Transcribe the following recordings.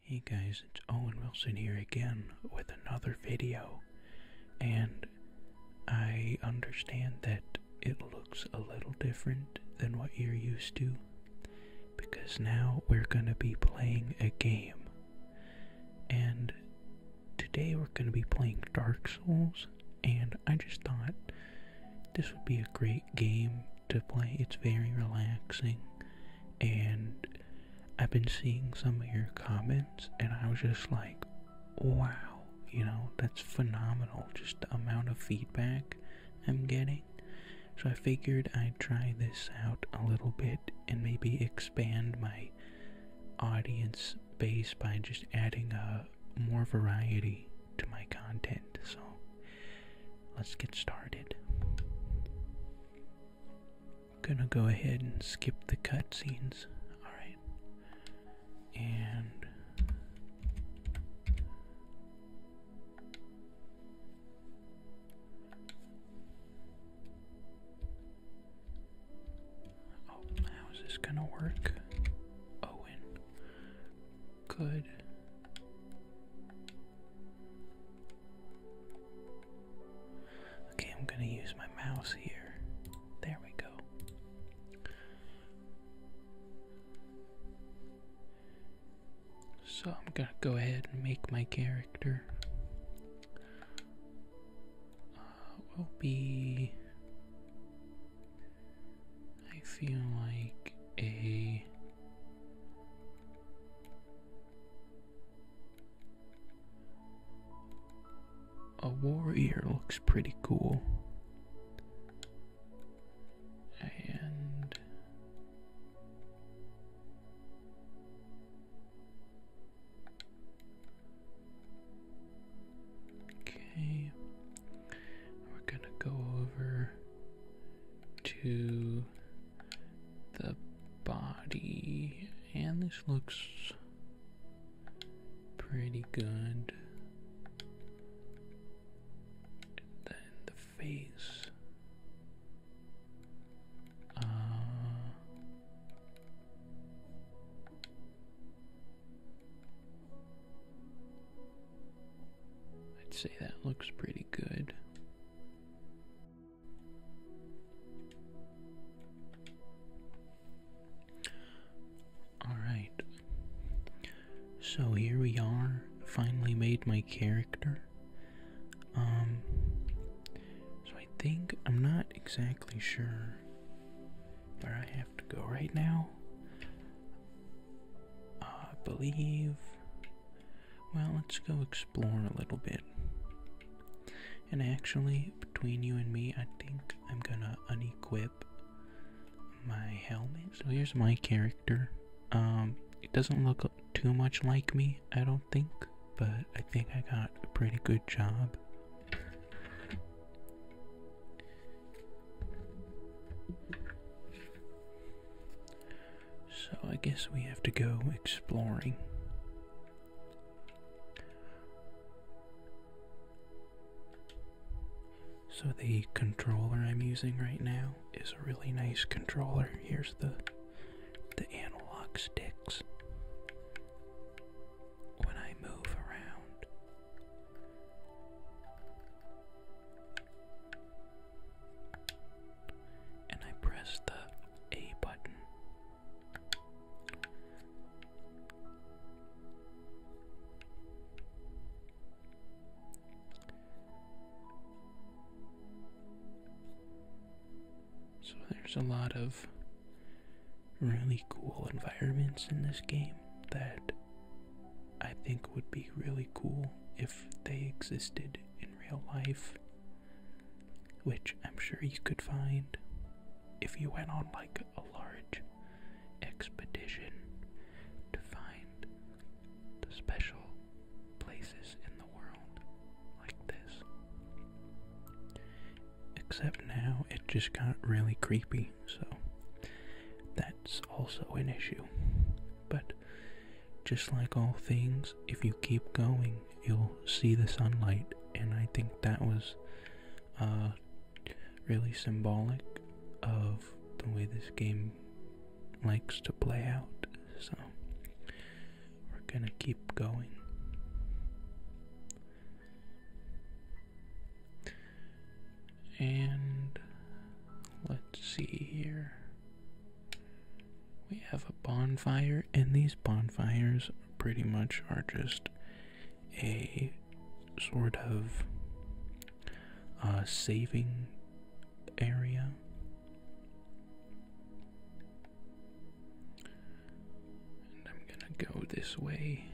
Hey guys, it's Owen Wilson here again with another video, and I understand that it looks a little different than what you're used to because now we're going to be playing a game. And today we're going to be playing Dark Souls, and I just thought this would be a great game to play. It's very relaxing, and I've been seeing some of your comments, and I was just like, wow, you know, that's phenomenal. Just the amount of feedback I'm getting. So I figured I'd try this out a little bit and maybe expand my audience base by just adding a more variety to my content. So let's get started. gonna go ahead and skip the cutscenes. Alright. And Oh, how is this gonna work? Owen. Good. Okay, I'm gonna use my mouse here. There we go. So I'm gonna go ahead and make my character. Uh, will be I feel like a a warrior looks pretty cool. And okay, we're gonna go over to the body, and this looks pretty good. then the face. Uh, I'd say that looks pretty good. Alright, so here we are. Finally made my character. Um, so I think I'm not exactly sure where I have to go right now. Uh, I believe. Well, let's go explore a little bit. And actually, between you and me, I think I'm gonna unequip my helmet. So here's my character. Um, it doesn't look too much like me, I don't think, but I think I got a pretty good job. So I guess we have to go exploring. So the controller I'm using right now is a really nice controller. Here's the the analog sticks when I move around. And I press the A button. So there's a lot of really cool environments in this game that I think would be really cool if they existed in real life, which I'm sure you could find if you went on like a large expedition to find the special places in the world like this. Except now it just got really creepy, so that's also an issue. But just like all things, if you keep going, you'll see the sunlight, and I think that was uh, really symbolic of the way this game likes to play out. So we're gonna keep going. And let's see here. We have a bonfire, and these bonfires pretty much are just a sort of uh, saving area. And I'm gonna go this way.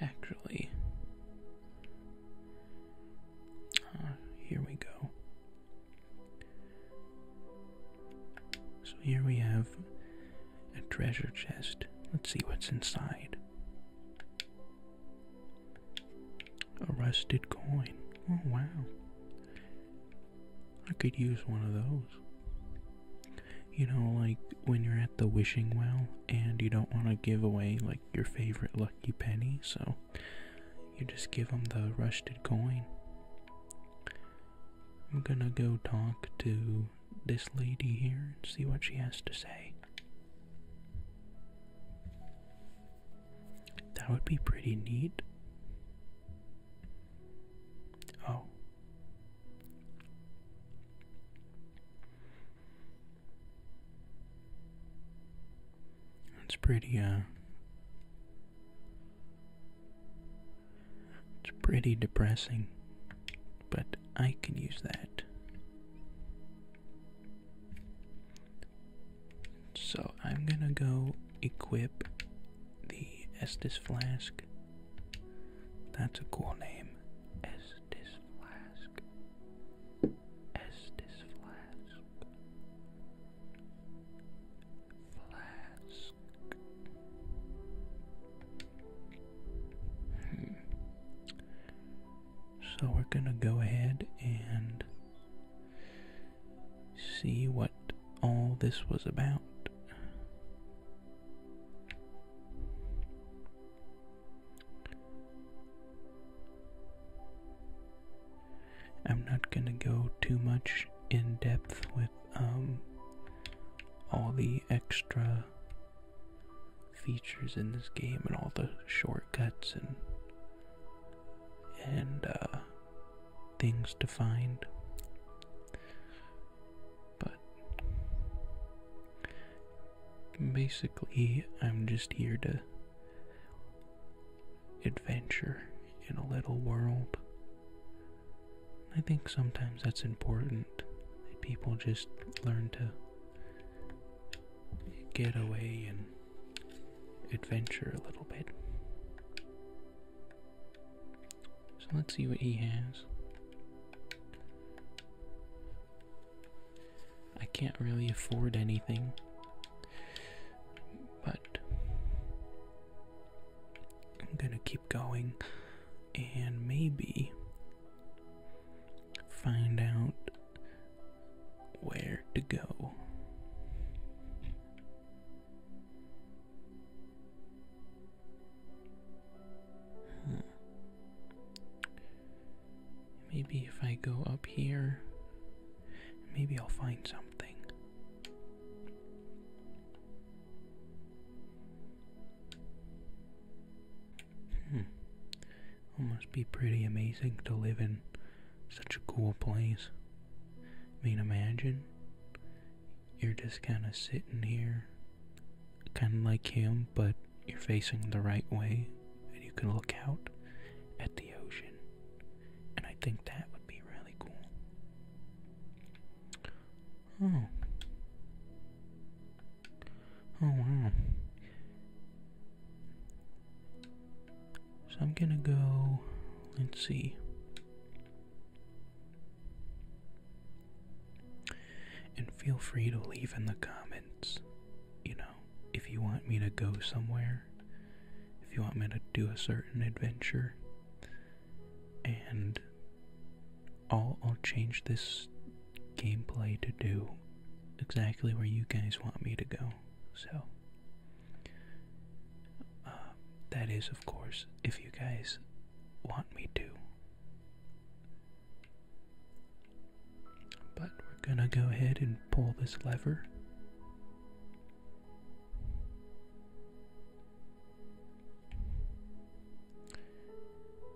Actually, uh, here we go. So here we have a treasure chest. Let's see what's inside. A rusted coin. Oh, wow. I could use one of those. You know, like when you're at the wishing well and you don't want to give away like your favorite lucky penny, so you just give them the rusted coin. I'm gonna go talk to this lady here and see what she has to say. That would be pretty neat. Oh. It's pretty, uh, it's pretty depressing, but I can use that. So I'm gonna go equip the Estis Flask. That's a cool name. Estes Flask. Estes Flask. Flask. So we're going to go ahead and see what all this was about. I'm not going to go too much in depth with um, all the extra features in this game and all the shortcuts and and uh, things to find. But basically, I'm just here to adventure in a little world I think sometimes that's important that people just learn to get away and adventure a little bit. So let's see what he has. I can't really afford anything, but I'm gonna keep going and maybe find out where to go. Maybe if I go up here, maybe I'll find something. Hmm. It must be pretty amazing to live in such a cool place. I mean, imagine you're just kind of sitting here, kind of like him, but you're facing the right way, and you can look out at the ocean. And I think that would be really cool. Oh. Oh wow. So I'm gonna go, let's see. And feel free to leave in the comments, you know, if you want me to go somewhere if you want me to do a certain adventure. And I'll, I'll change this gameplay to do exactly where you guys want me to go. So, uh, that is, of course, if you guys want me to. But we're gonna go ahead and pull this lever.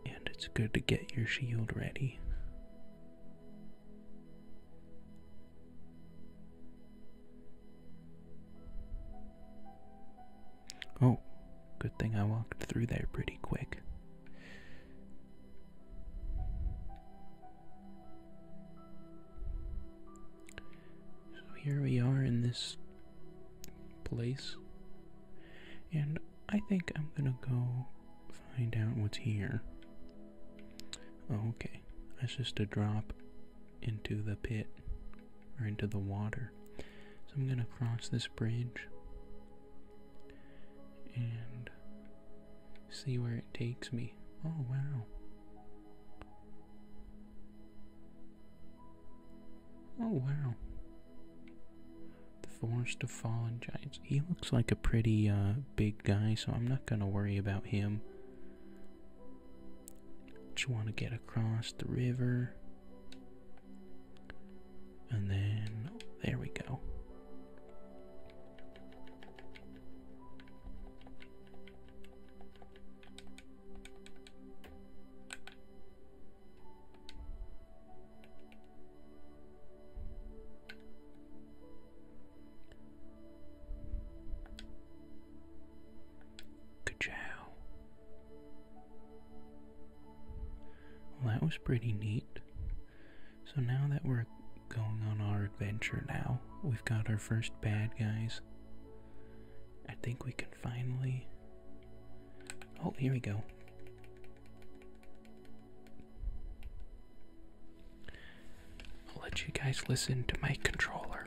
And it's good to get your shield ready. Oh, good thing I walked through there pretty quick. So here we are in this place, and I think I'm gonna go find out what's here. okay, that's just a drop into the pit or into the water. So I'm gonna cross this bridge and see where it takes me. Oh, wow. Oh wow. The Forest of Fallen Giants. He looks like a pretty uh, big guy, so I'm not gonna worry about him. Just want to get across the river. And then, oh, there we go. Good job. Well, that was pretty neat. So now that we're going on our adventure now, we've got our first bad guys. I think we can finally. Oh, here we go. I'll let you guys listen to my controller.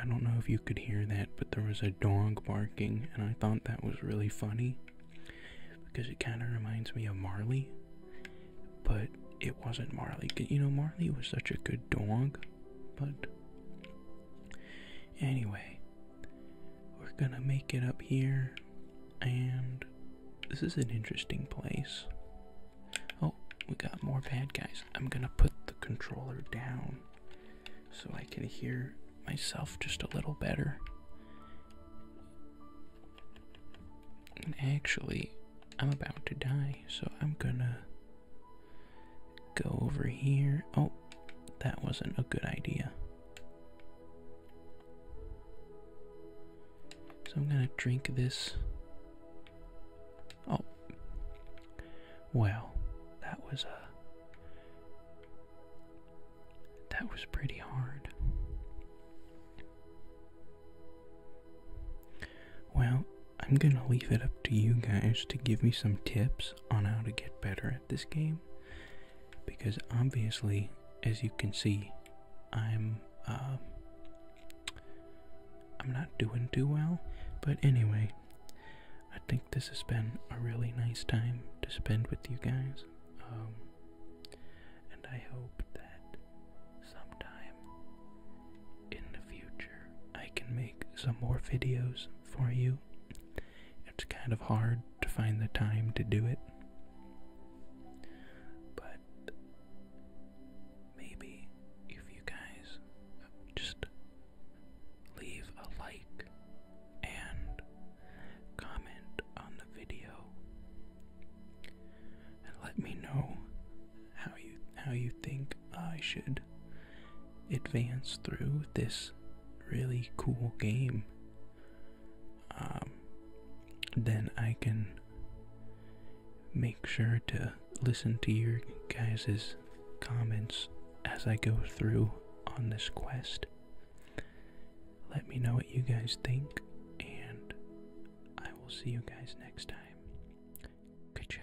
I don't know if you could hear that, but there was a dog barking, and I thought that was really funny because it kind of reminds me of Marley, but it wasn't Marley. You know, Marley was such a good dog, but anyway, we're gonna make it up here, and this is an interesting place. Oh, we got more bad guys. I'm gonna put the controller down so I can hear myself just a little better. And actually, I'm about to die, so I'm gonna go over here. Oh, that wasn't a good idea. So I'm gonna drink this Oh. Well, that was a. Uh, that was pretty hard. Well, I'm gonna leave it up to you guys to give me some tips on how to get better at this game. Because obviously, as you can see, I'm. Uh, I'm not doing too well, but anyway, I think this has been a really nice time to spend with you guys. Um, and I hope that sometime in the future I can make some more videos for you. It's kind of hard to find the time to do it. But maybe if you guys just leave a like and comment on the video and let me know how you how you think I should advance through this really cool game um, then I can make sure to listen to your guys' comments as I go through on this quest. Let me know what you guys think, and I will see you guys next time. ciao.